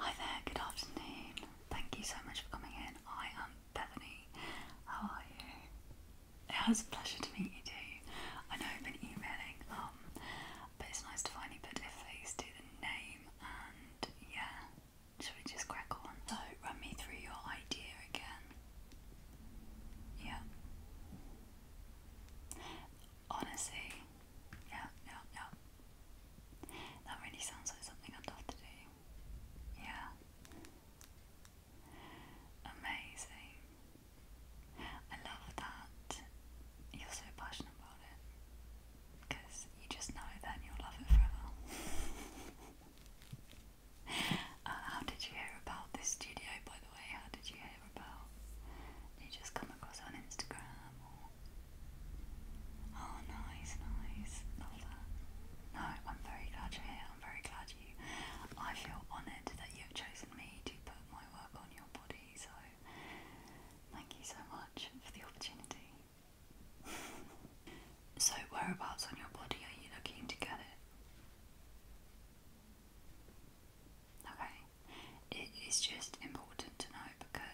Hi there, good afternoon. Thank you so much for coming in. I am Bethany. How are you? It was a pleasure to meet you too. I know I've been emailing, um, but it's nice to finally put a face to the name and yeah, should we just crack on? So run me through your idea again. Yeah. Honestly, yeah, yeah, yeah. That really sounds like something I'd love to do. Yeah. Amazing. I love that you're so passionate about it because you just know that you'll love it forever. Uh, how did you hear about this studio, by the way? How did you hear about? you just come across on Instagram Oh, nice, nice. No, I'm very glad you're here. I'm very glad you. I feel honoured that you have chosen me to put my work on your body, so thank you so much for the opportunity. so, whereabouts on your body are you looking to get it? Okay it is just important to know because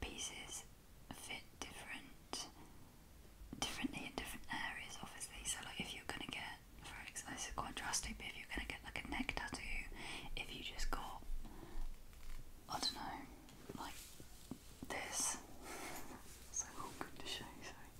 pieces fit different differently in different areas obviously so like if you're gonna get for example it's is quite drastic if you're gonna get like a neck tattoo if you just got I don't know like this so oh, awkward to show sorry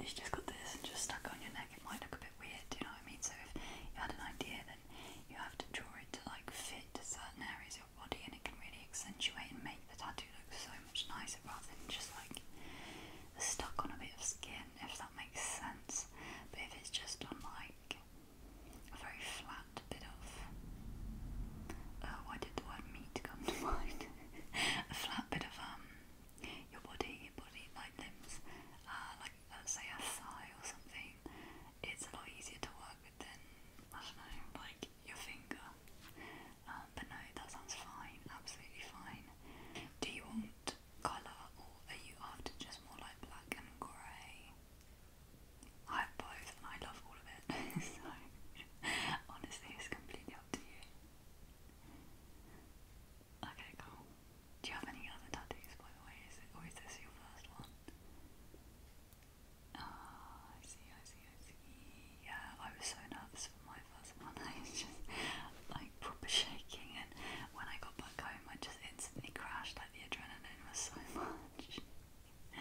if you just got this and just stuck on your neck it might look a bit weird do you know what I mean so if you had an idea that then you have to draw it to like fit certain areas of your body and it can really accentuate and make the tattoo look so much nicer rather than just like stuck on a bit of skin, if that makes sense. But if it's just on like a very flat bit of oh, why did the meat come to mind? a flat bit of um your body, your body like limbs, uh, like let's say a thigh or something, it's a lot easier to work with than, I don't know, like your finger. Um, but no, that sounds fine, absolutely fine. Do you want colour or are you after just more like black and grey? I have both and I love all of it. so, honestly, it's completely up to you. Okay, cool. Do you have any other tattoos, by the way? Is it, or is this your first one? Ah, I see, I see, I see. Yeah, I was so nervous for my first one. I was just like proper shaking, and when I got back home, I just instantly crashed. Like the adrenaline was so much.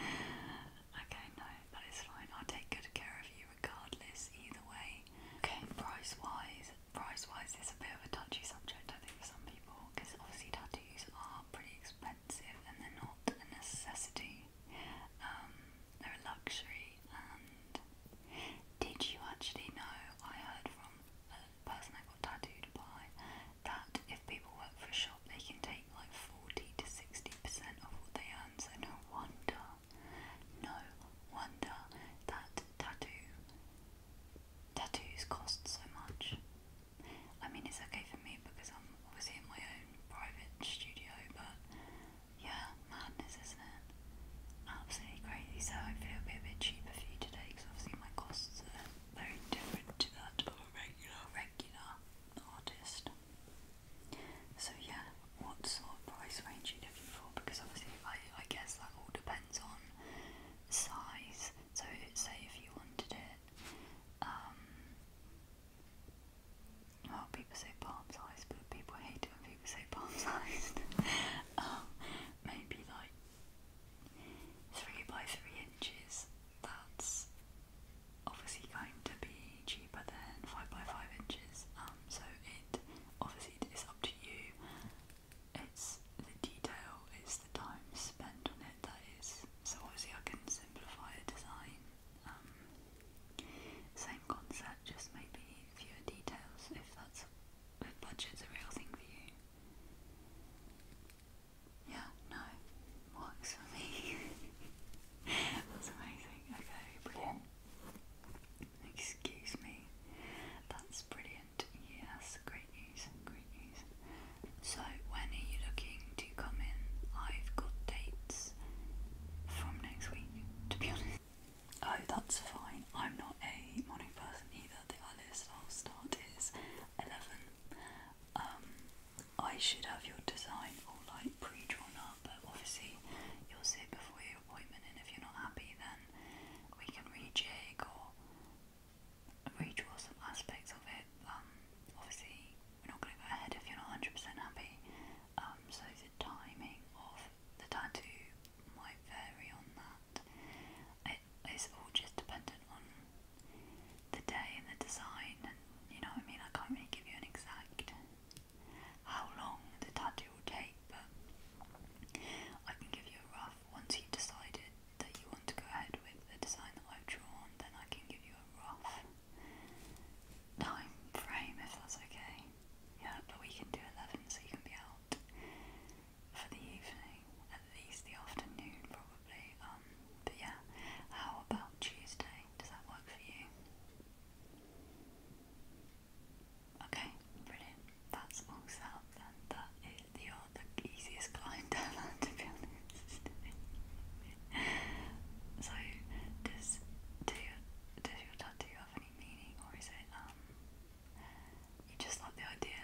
okay, no, that is fine. I'll take good care of you regardless, either way. Okay, price wise, price wise, it's a bit of a touchy subject, I think, for some people, because obviously tattoos these are pretty expensive and they're not a necessity. Um, they're a luxury. And did you actually know? I heard from a person I got tattooed by that if people work for a shop, they can take like 40 to 60% of what they earn. So, no wonder, no wonder that tattoo tattoos cost so much. I mean, it's okay for me because I'm obviously in my own private studio, but yeah, madness, isn't it? Absolutely crazy. So I feel a bit cheaper for you today because obviously my costs are very different to that of a regular, artist. So yeah, what sort of price range you looking for? Because obviously I, I guess that all depends on size so say if you wanted it, um, well people say palm-sized, but people hate it when people say palm-sized. Um, maybe like three by three inches. That's obviously going to be cheaper than five by five inches. Um, so it obviously is up to you it's the detail, it's the time spent on it that is. So obviously I can simplify a design. Um, same concept, just maybe fewer details if that's if budget's a real thing for you. Yeah, no, works for me. That's amazing. Okay, brilliant. Excuse me, that's brilliant. Yes, great news, great news. So, when are you looking to come in? I've got dates from next week, to be honest. Oh, that's fine. I'm not a morning person either. The earliest I'll start is 11. Um, I should have your design all like pre drawn up, but obviously you'll see it before your appointment, and if you're not happy, then we can rejig or redraw some aspects of it. Um, obviously, we're not going to go ahead if you're not 100% happy. Um, so the timing of the tattoo might vary on that. it's all just dependent on the day and the design, and you know what I mean. I can't really give you an exact how long the tattoo will take, but I can give you a rough once you've decided that you want to go ahead with the design that I've drawn, then I can give you a rough time frame if that's okay. Yeah, but we can do 11 so you can be out for the evening, at least the afternoon probably. Um, but yeah, how about Tuesday? Does that work for you? Okay, brilliant. That's all set and that is the, the easiest climb down to be so, does your, does your tattoo have any meaning, or is it um you just like the idea?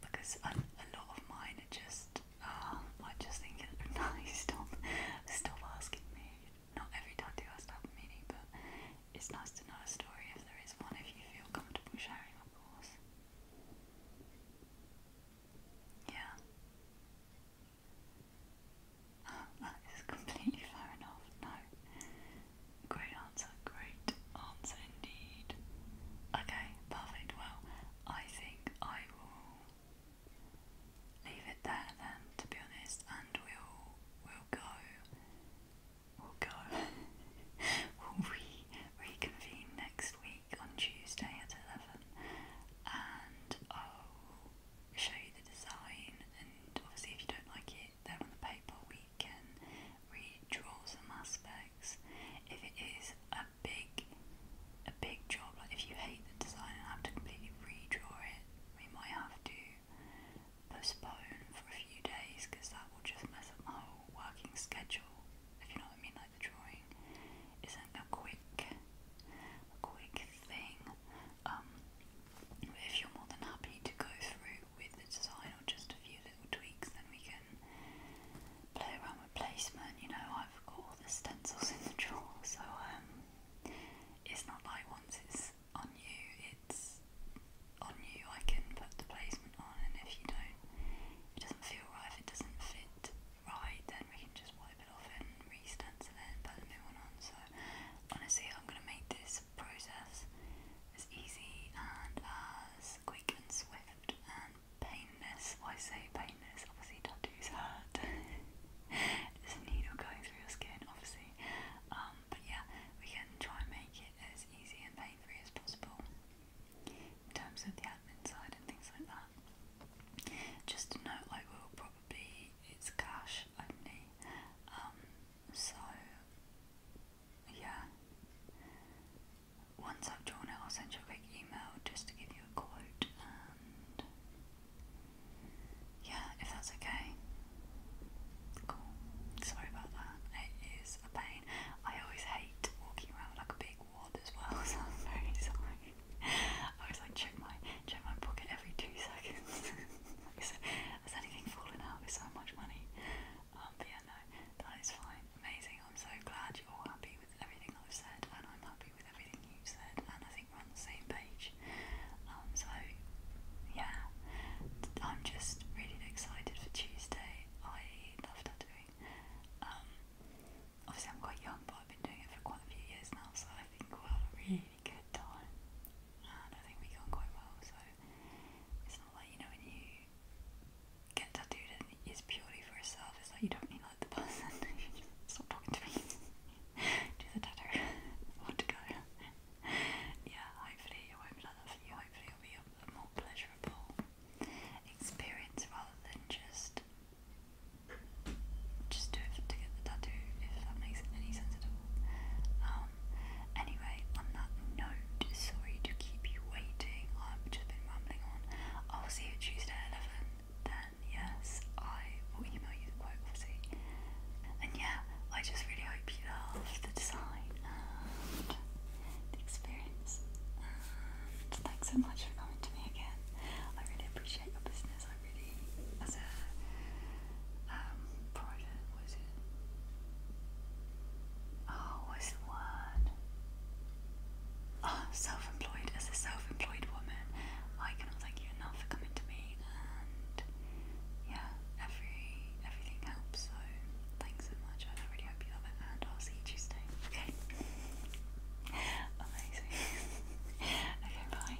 Because a, a lot of mine are just uh, I just think it nice. Stop, stop asking me. Not every tattoo has to have meaning, but it's nice to know a story if there is one. If you feel comfortable sharing, of course. Yeah. Oh, that is completely fair enough. No. Great answer, great answer indeed. Okay, perfect. Well, I think I will leave it there then, to be honest, and we'll we'll go we'll go we'll reconvene next week on Tuesday at 11 and I'll show you the design and obviously if you don't like it then on the paper we can redraw some aspects. If it is a big a big job, like if you hate the design and have to completely redraw it, we might have to postpone for a few days because that will just mess up my whole working schedule. If you know what I mean, like the drawing isn't a quick a quick thing. Um but if you're more than happy to go through with the design or just a few little tweaks then we can play around with placement, you know, I've got all the stencils in the drawer, so um it's not like once it's on you, it's on you I can put the placement on, and if you don't, it doesn't feel right, it doesn't fit right, then we can just wipe it off and re-stencil it and put a new one on. So, honestly, I'm going to make this process as easy and as quick and swift and painless. Well, I say painless, obviously, tattoos hurt. There's a needle going through your skin, obviously. Um, but yeah, we can try and make it as easy and pain free as possible in terms of the admin side and things like that. Just a note, like we'll probably it's cash only, um, so yeah. Once I've drawn it, I'll send you a quick email just to give you a quote, and yeah, if that's okay. Cool. Sorry about that. It is a pain. I always hate walking around with like a big water as well, so I'm very sorry. I always like check my check my pocket every two seconds. is, anything fallen out with so much money? Um, but yeah, no, that is fine. Amazing. I'm so glad you're all happy with everything I've said, and I'm happy with everything you've said, and I think we're on the same page. Um, so yeah, I'm just really excited for Tuesday. I love tattooing doing. Um, obviously, I'm quite young, but I've been doing it for quite a few years now, so I think we'll have a really good time. And I think we go on quite well, so it's not like, you know, when you get tattooed and it's purely for yourself, it's like you don't need like the person, stop talking to me, do the tattoo, want to go. yeah, hopefully it won't be like that for you, hopefully it'll be a, a more pleasurable experience rather than just just do it to get the tattoo, if that makes any sense at all. Um, anyway, on that note, sorry to keep you waiting. I've just been rambling on. I'll see you Tuesday at 11. Then, yes, I will email you the quote, obviously. And yeah, I just really hope you love the design the experience. Um, thanks so much for coming to me again. I really appreciate your business. I really, as a um, private, what is it? Oh, what's the word? Oh, self-employed. As a self-employed woman, I cannot thank you enough for coming to me. And yeah, every everything helps. So thanks so much hope you love it, and I'll see you Tuesday. Okay. Amazing. okay, bye.